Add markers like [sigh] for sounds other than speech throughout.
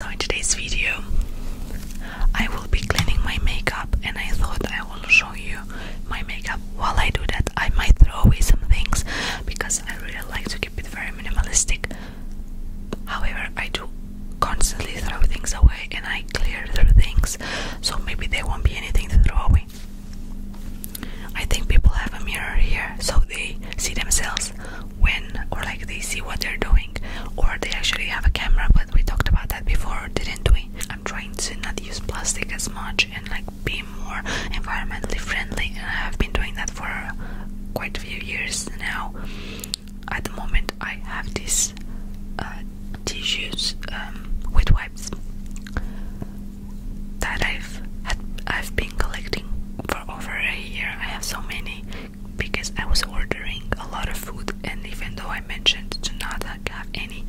So in today's video I will be cleaning my makeup and I thought I will show you my makeup while I do that I might throw away some things because I really like to keep it very minimalistic however I do constantly throw things away and I clear through things so maybe there won't be anything to throw away I think people have a mirror here so they see themselves when or like they see what they're doing or they actually have a camera but we talked about that before didn't we i'm trying to not use plastic as much and like be more environmentally friendly and i've been doing that for quite a few years now at the moment i have these uh, tissues um, wipes that i've had i've been collecting for over a year i have so many because I was ordering a lot of food, and even though I mentioned to not have any,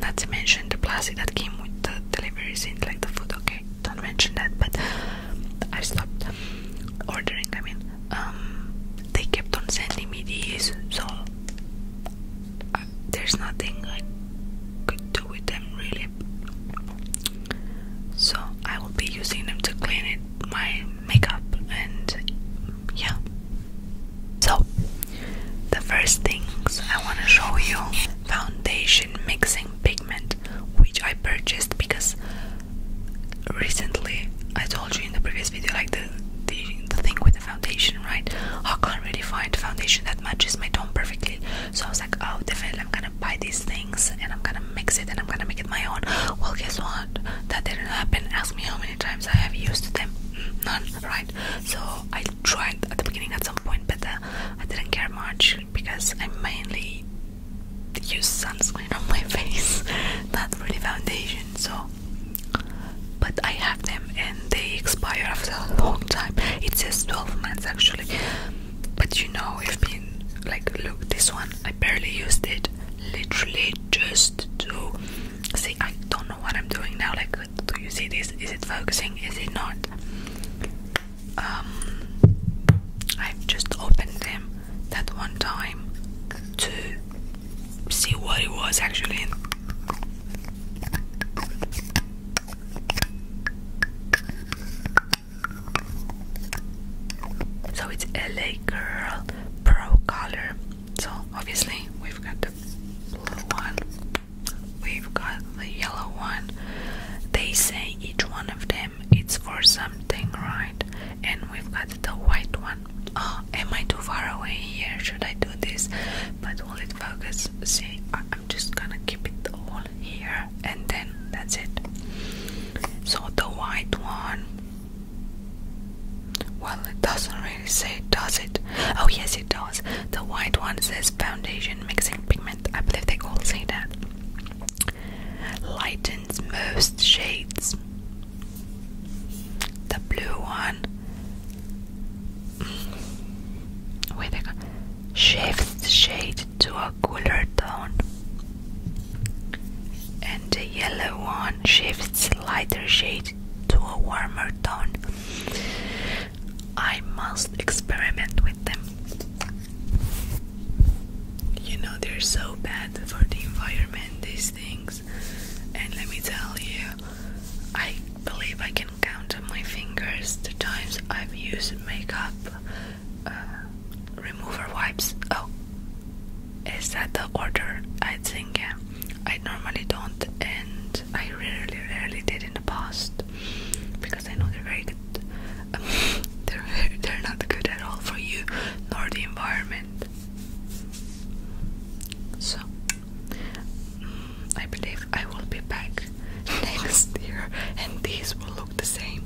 not to mention the plastic that came with the deliveries in like the food, okay, don't mention that, but I stopped ordering. I mean, um, they kept on sending me these, so uh, there's nothing I could do with them really. So I will be using them to clean it my makeup and yeah. So, the first things I want to show you foundation mixing pigment, which I purchased because recently I told you in the previous video, like the, the, the thing with the foundation, right? I can't really find foundation that matches my tone perfectly, so I was like, oh, definitely I'm gonna buy these things and I'm gonna mix it and I'm gonna make it my own. Well, guess what? That didn't happen. Ask me how many times I have used them. Mm, none, right? So I tried at the beginning at some point, but uh, I didn't care much because I mainly use sunscreen on my [laughs] face, not really foundation. So, but I have them and they expire after a long time. It says 12 months actually, but you know, I've been like, look, this one I barely used it literally just to see I don't know what I'm doing now like do you see this is it focusing is it not um, I've just opened them that one time to see what it was actually so it's LA Girl Pro Color. So obviously we've got the blue one, we've got the yellow one. They say each one of them it's for something, right? And we've got the white one. Oh, am I too far away here? Should I do this? But will it focus? See, I'm just gonna keep it all here and then that's it so the white one well it doesn't really say does it oh yes it does the white one says foundation mixing pigment i believe they all say that lightens most shades the blue one mm, with a shifts shade to a cooler tone, and the yellow one shifts lighter shade to a warmer tone. I must experiment with them. You know, they're so bad for the environment, these things. And let me tell you, I believe I can count on my fingers the times I've used makeup uh, remover wipes. Oh, is that the order? I think I normally don't, and I rarely, rarely did in the past because I know they're very good. [laughs] they're they're not good at all for you nor the environment. So mm, I believe I will be back [laughs] next year, and these will look the same.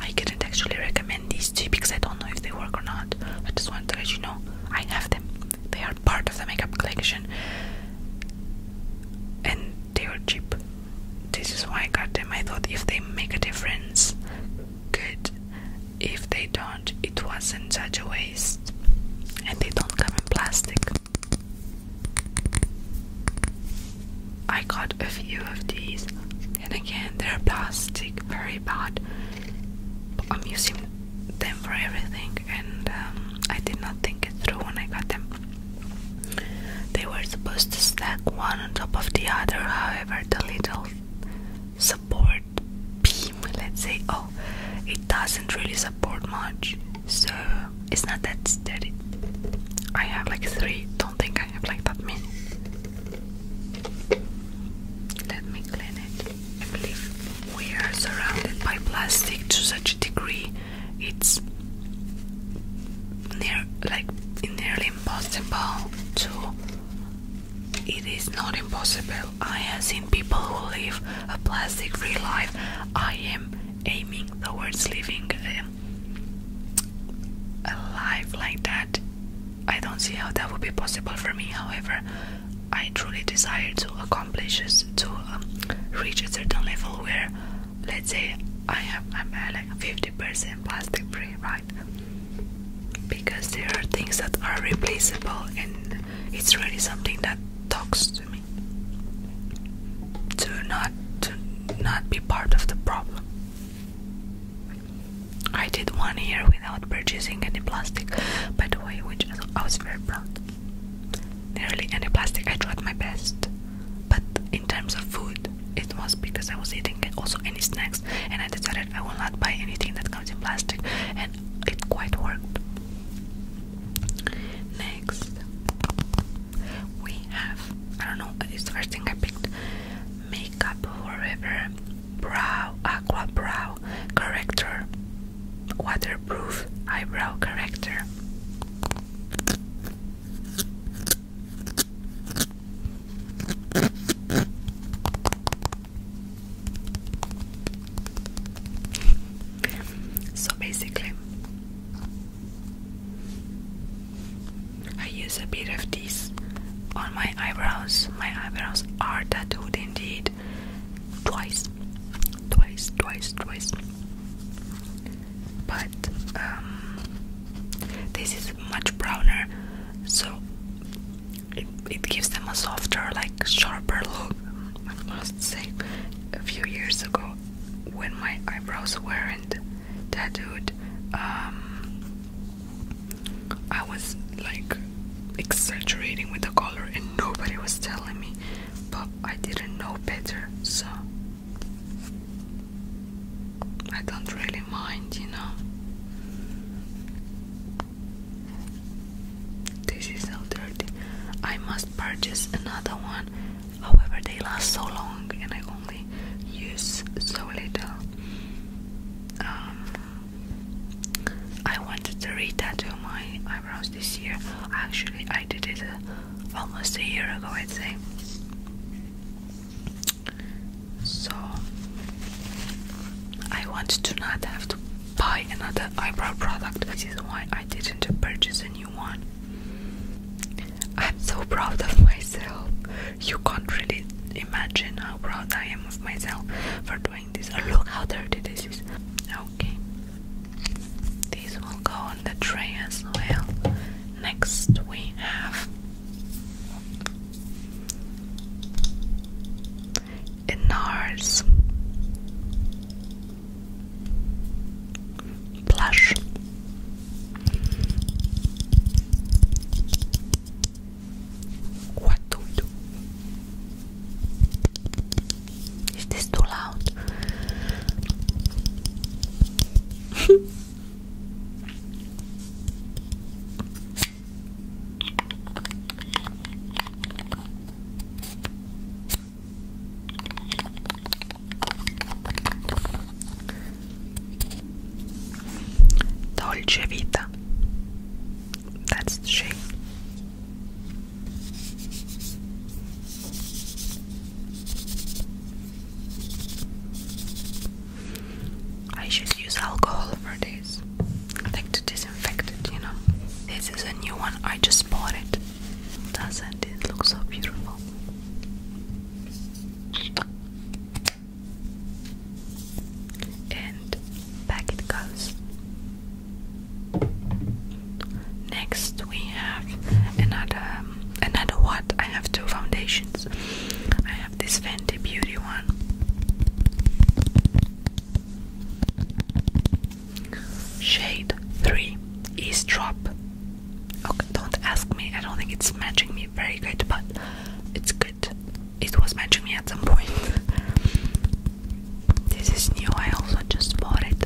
I couldn't actually recommend these two because I don't know if they work or not. I just wanted to let you know I have them. They are part of the makeup collection and they are cheap. This is why I got them. I thought if they make a difference, good. If they don't, it wasn't such a waste. And they don't come in plastic. I got a few of these, and again, they're plastic, very bad. I'm using them for everything, and um, I did not think it through when I got them. They were supposed to stack one on top of the other, however, the little support beam, let's say, oh, it doesn't really support much so it's not that steady. I have like three, don't think I have like that many. Let me clean it. I believe we are surrounded by plastic to such a degree it's near like nearly impossible to it is not impossible. I have seen people who live a plastic free life. I am aiming towards living uh, a, life like that. I don't see how that would be possible for me. However, I truly desire to accomplish this, to um, reach a certain level where, let's say, I have am uh, like 50% plastic free, right? Because there are things that are replaceable, and it's really something that talks to me to not to not be part of the problem. I did one year without purchasing any plastic, by the way, which I was very proud. Nearly any plastic, I tried my best. But in terms of food, it was because I was eating also any snacks, and I decided I will not buy anything that comes in plastic, and it quite worked. Next, we have I don't know, it's the first thing I picked Makeup Forever Brow Aqua Brow Corrector Waterproof Eyebrow Corrector. So basically, I use a bit of this on my eyebrows. My eyebrows are tattooed indeed. Twice. Twice, twice, twice. But um, this is much browner, so it, it gives them a softer, like sharper look. I must say, a few years ago when my eyebrows weren't tattooed um, I was like exaggerating with the color and nobody was telling me but I didn't know better so I don't really mind you know this is so dirty. I must purchase another one. However, they last so long and I only use so little. Um, I wanted to re-tattoo my eyebrows this year. Actually, I did it uh, almost a year ago, I'd say. So I want to not have to buy another eyebrow product. This is why I didn't purchase a new one. I'm so proud of myself. You can't really imagine how proud I am of myself for doing this. Oh, look how dirty this is. Okay. These will go on the tray as well. Next we have NARS Blush. What do we do? Is this too loud? [laughs] Dolce Vita. That's the shape. I should use alcohol for this. Like to disinfected, you know. This is a new one, I just bought it. Doesn't it look so beautiful? And back it goes. Next we have another um, another what? I have two foundations. I have this Fenty Beauty one. Shade 3 Eavesdrop. Okay, don't ask me, I don't think it's matching me very good, but it's good. It was matching me at some point. [laughs] this is new, I also just bought it.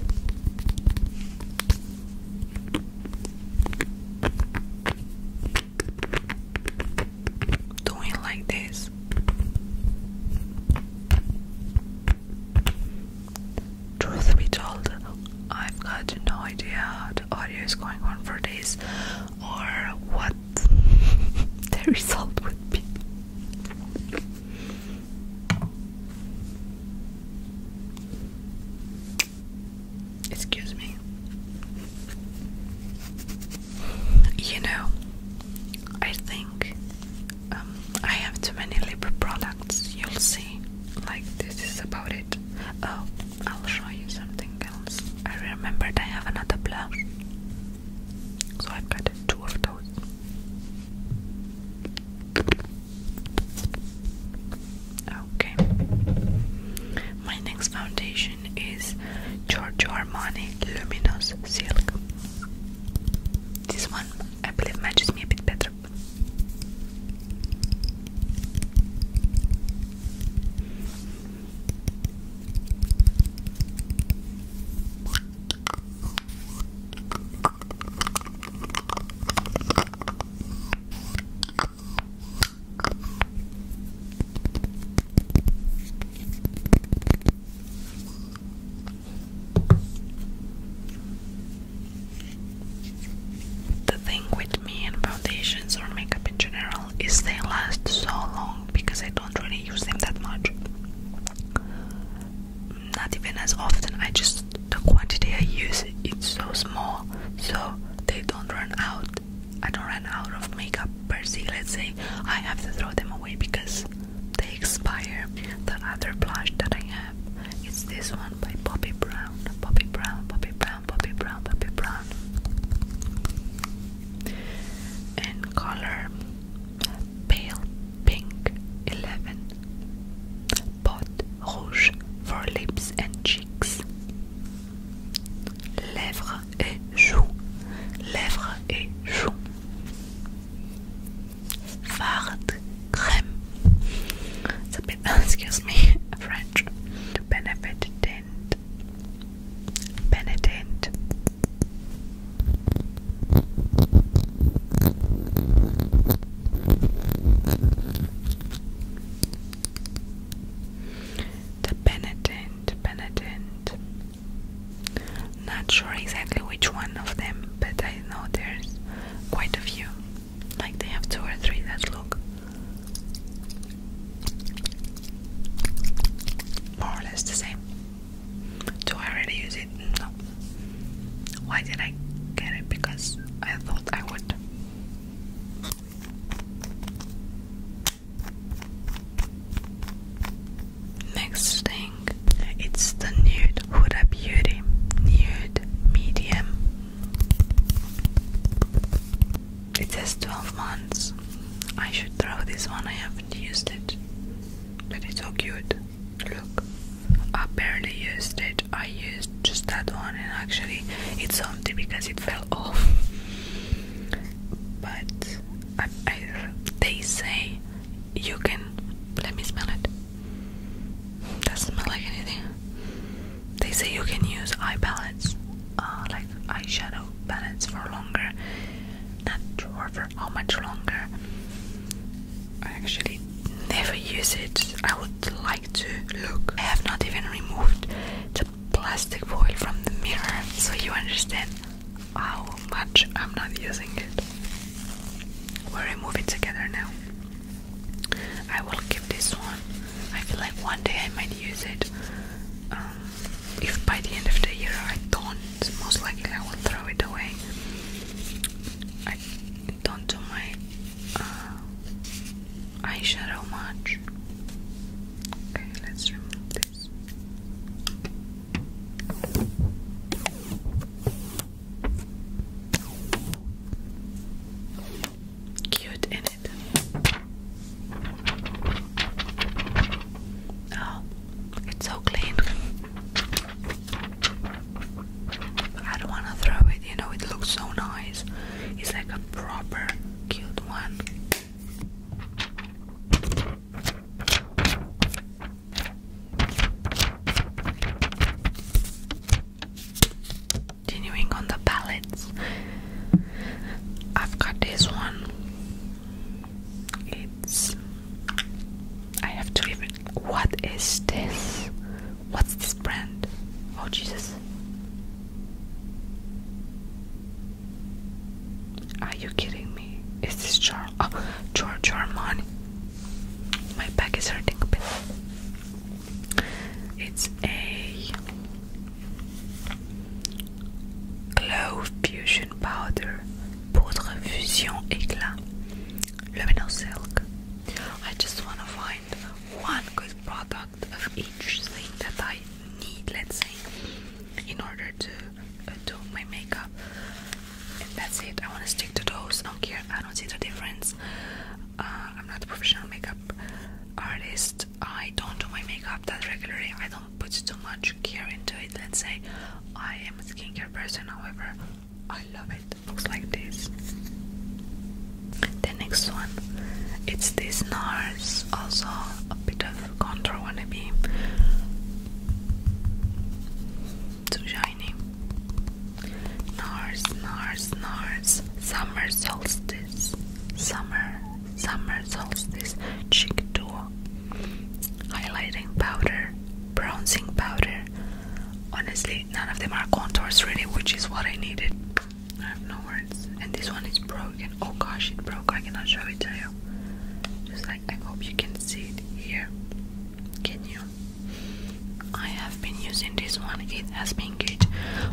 Doing like this. Truth be told, I've got no idea what the audio is going on for this or what [laughs] the result would be. Excuse me. You know, I think um, I have too many lip products, you'll see. Like, this is about it. Oh, I'll show you something else. I remembered I have another blush, so I've got two of those. Okay, my next foundation is Giorgio Armani Luminous Silk. This one, I believe, matches me a bit better. The thing with me and foundations or makeup in general is they last so long because I don't really use them that much. Not even as often. I just the quantity I use it's so small, so they don't run out. I don't run out of makeup per se. Let's say I have to throw them away because they expire. The other blush that I have is this one by Bobbi Brown. Bobbi Brown, Bobbi Brown, Bobbi Brown, Bobbi Brown. And color pale pink 11. Pot rouge for lips and cheeks. Lèvres et joues. Lèvres et joues. Fard crème. [laughs] excuse me, French. Benefit tint. Benedent. The Benedent, Benedent, not sure exactly which one of them, but I know there's quite a few. Like they have two or three that look more or less the same. Do I already use it? No. Why did I get it? Because I thought I would. Next thing, it's the nude Huda Beauty nude medium. It has 12 months. I should throw this one. I haven't used it, but it's so cute. Look, I barely used it. I used just that one, and actually, it's empty because it fell [laughs] off. But they say you can. Let me smell it. Doesn't smell like anything. They say you can use eye palettes, uh, like eyeshadow palettes, for longer. Not sure for how much longer. I actually never use it. I would like to look. I have not even removed the plastic foil from the mirror, so you understand how much I'm not using it. We'll remove it together now. I will keep this one. I feel like one day I might use it. Um, if by the end of the year I don't, most likely I will throw it away. I don't do my uh, eyeshadow much. Okay, let's remove this papers. Cute in it. Oh, it's so clean. I don't want to throw it, you know, it looks so nice. It's like a proper cute one. Continuing on the palettes, I've got this one. It's. I have to even. What is this? What's this brand? Oh, Jesus. Are you kidding me? Is this Char oh, George Armani? My back is hurting a bit. It's a Glow Fusion Powder Poudre Fusion Éclat Luminous Silk. I just wanna find one good product of each thing that I need, let's say, in order to do my makeup and that's it I want to stick to those I don't care I don't see the difference uh, I'm not a professional makeup artist I don't do my makeup that regularly I don't put too much care into it let's say I am a skincare person however I love it. looks like this the next one it's this NARS also a bit of contour wanna be too shiny. Nars, Nars, Nars. Summer solstice. Summer, summer solstice. Cheek duo. Highlighting powder. Bronzing powder. Honestly, none of them are contours really, which is what I needed. And this one is broken. Oh gosh, it broke. I cannot show it to you. Just like I hope you can see it here. Can you? I have been using this one. It has been good.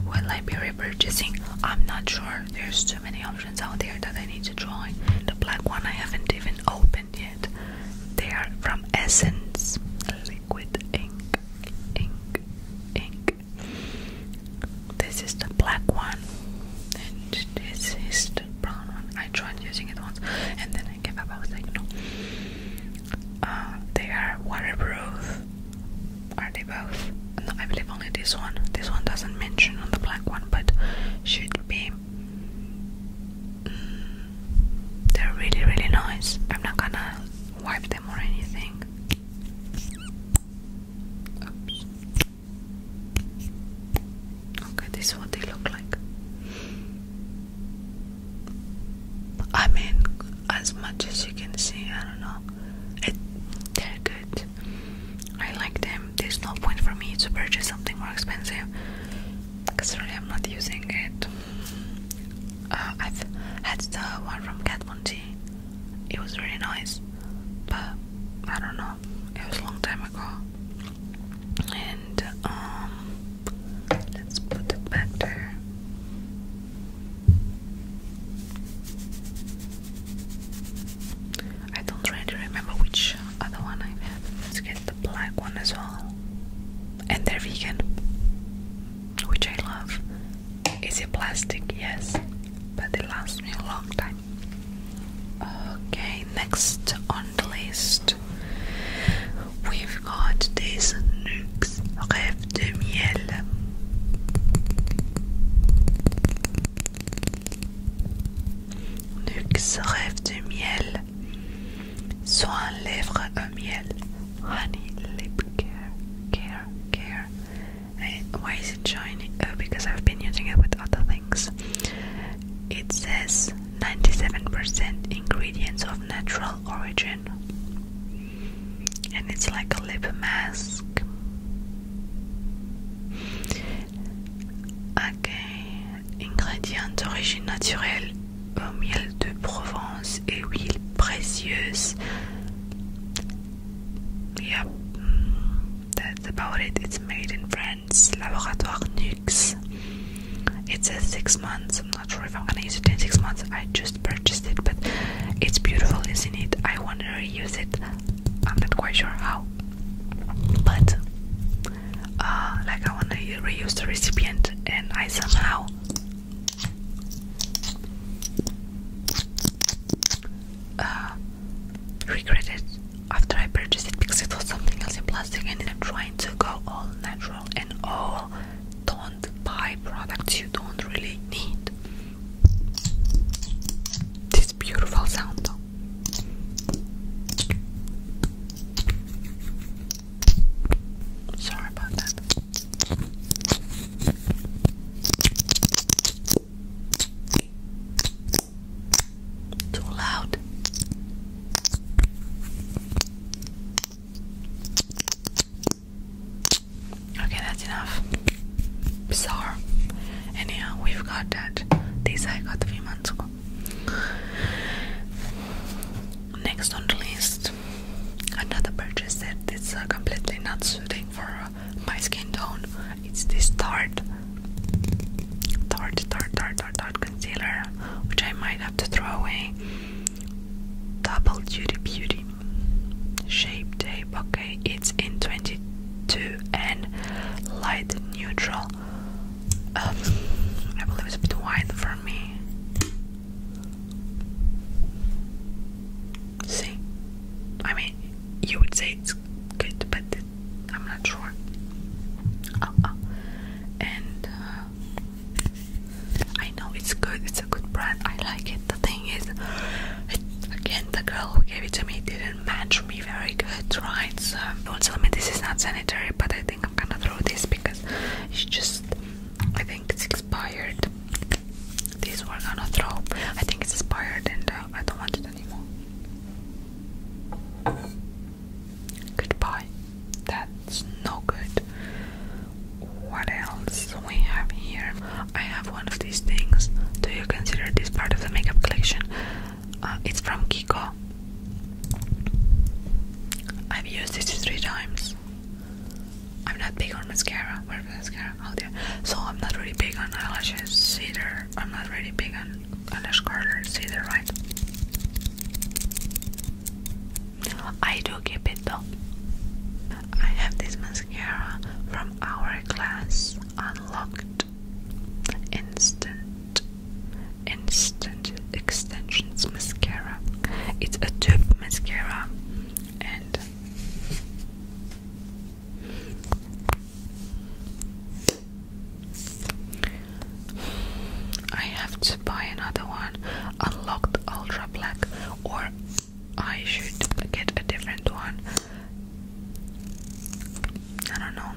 Will I be repurchasing? I'm not sure. There's too many options out there that I need to try. The black one I haven't even opened yet. They are from Essence Liquid Ink. Ink. Ink. This is the black one, and this is the brown one. I tried using it once, and then I gave up. I was like, no. Uh, they are waterproof. Are they both? No, I believe only this one. This one doesn't mention on the black one, but should be. Mm, they're really, really nice. I'm not gonna wipe them or anything. Okay, this is what they look like. I mean, as much as you can see, I don't know. It, they're good. I like them. There's no point for me to purchase something more expensive because really I'm not using it. Uh, I've had the one from Kat Von it was really nice, but I don't know. It was a long time ago. And um, let's put it back there. I don't really remember which other one I've had. Let's get the black one as well. And they're vegan, which I love. Is it plastic? Yes, but it lasts me a long time. Okay, next on the list we've got this Nuxe Rêve de Miel. Nuxe Rêve de Miel. Soin lèvres à miel. Honey lip care, care, care why is it shiny? Oh, because I've been using it with other things. It says 97% ingredients of natural origin, and it's like a lip mask. Okay, ingrédients d'origine naturelle au miel de Provence et huile précieuse. Yep, that's about it. It's made in France. Laboratoire Nux. It's a six months. I'm not sure if I'm gonna use it in six months. I just purchased it, but it's beautiful, isn't it? I wanna reuse it. I'm not quite sure how, but uh, like I wanna reuse the recipient, and I somehow uh, regret it after I purchased it because it was something else in plastic and I'm trying to go all natural and all don't buy products you don't really need. This beautiful sound though. Sorry about that. Too loud. Okay, that's enough. Bizarre. Anyhow, we've got that. This I got three months ago. Next on the list, another purchase that is uh, completely not suiting for my skin tone. It's this Tarte, Tarte, Tarte, Tarte, Tarte, Tarte concealer, which I might have to throw away. Double Duty Beauty Shape Tape. Okay, it's in 22 and light neutral. Um, I believe it's a bit wide for me. See? I mean, you would say it's good, but I'm not sure. Uh, uh. And uh, I know it's good, it's a good brand, I like it. The thing is, it, again, the girl who gave it to me didn't match me very good, right? So, don't tell me this is not sanitary, but I think I'm gonna throw this because it's just I think it's expired. These were gonna throw. I think it's expired and uh, I don't want it anymore. Goodbye. That's no good. What else we have here? I have one of these things. Do you consider this part of the makeup collection? Uh, it's from Kiko. I've used this three times. I'm not big on mascara. Where's mascara? Out there. So I'm not really big on eyelashes either. I'm not really big on eyelash curlers either, right? I do keep it though. I have this mascara from our class. Unlocked Instant Instant Extensions Mascara. It's a tube mascara and I have to buy another one, Unlock the ultra black, or I should get a different one. I don't know.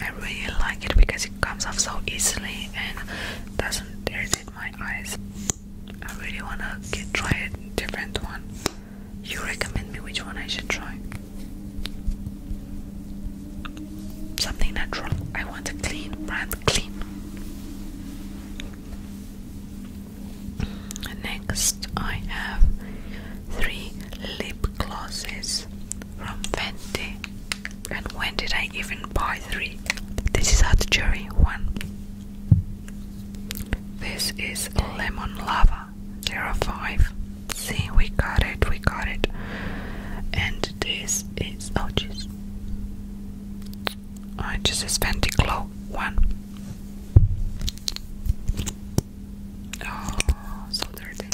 I really like it because it comes off so easily and doesn't irritate my eyes. I really wanna try a different one. You recommend me which one I should try. Something natural. I want a clean brand, clean. Next, I have three lip glosses from Fenty. And when did I even buy three? This is hard to One, this is lemon lava 05. See, we got it, we got it. And this is oh jeez. Oh, I just is Fenty Glow one. Oh, so dirty.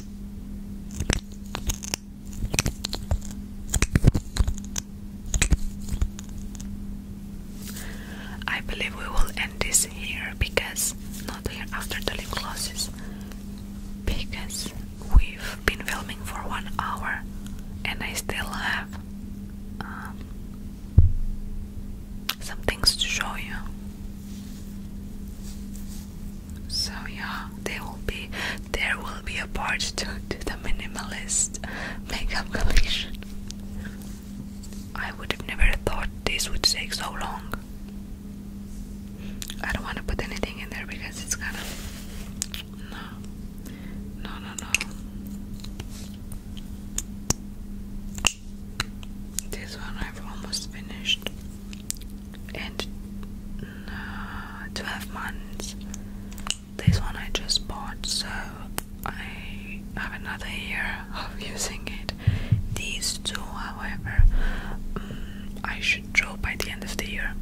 I believe we will end this here because not here after the lip glosses because we've been filming for one hour and I still have um, some things to show you. So yeah, there will be there will be a part to the minimalist makeup collection. I would have never thought this would take so long. I don't want to put anything in there because it's kind of no, no, no, no. This one I've almost finished, and uh, twelve months this one I just bought, so I have another year of [laughs] using it. These two, however, mm, I should draw by the end of the year.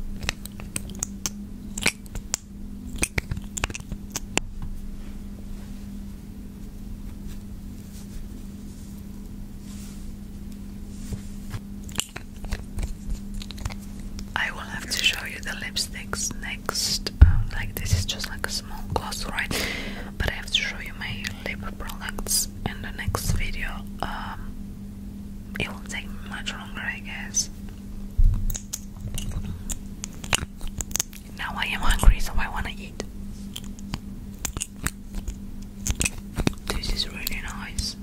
I will have to show you the lipsticks next. Um, like this is just like a small gloss, right? But I have to show you my lip products in the next video. Um, it will take much longer, I guess. Now I am hungry, so I want to eat. This is really nice.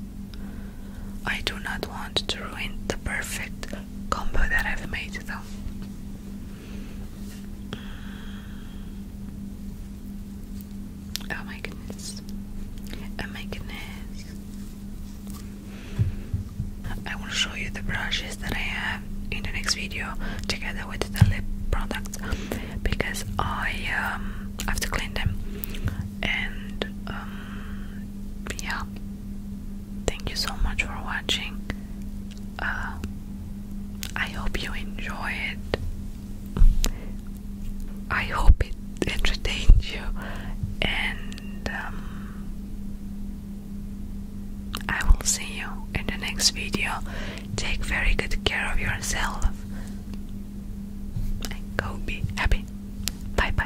I do not want to ruin the perfect combo that I've made, though. Oh my goodness. Oh my goodness. I will show you the brushes that I have in the next video together with the lip products because I um, have to clean them and um, yeah thank you so much for watching. Uh, I hope you enjoy it. I hope it entertained you, and um, I will see you in the next video. Take very good care of yourself go be happy. Bye bye.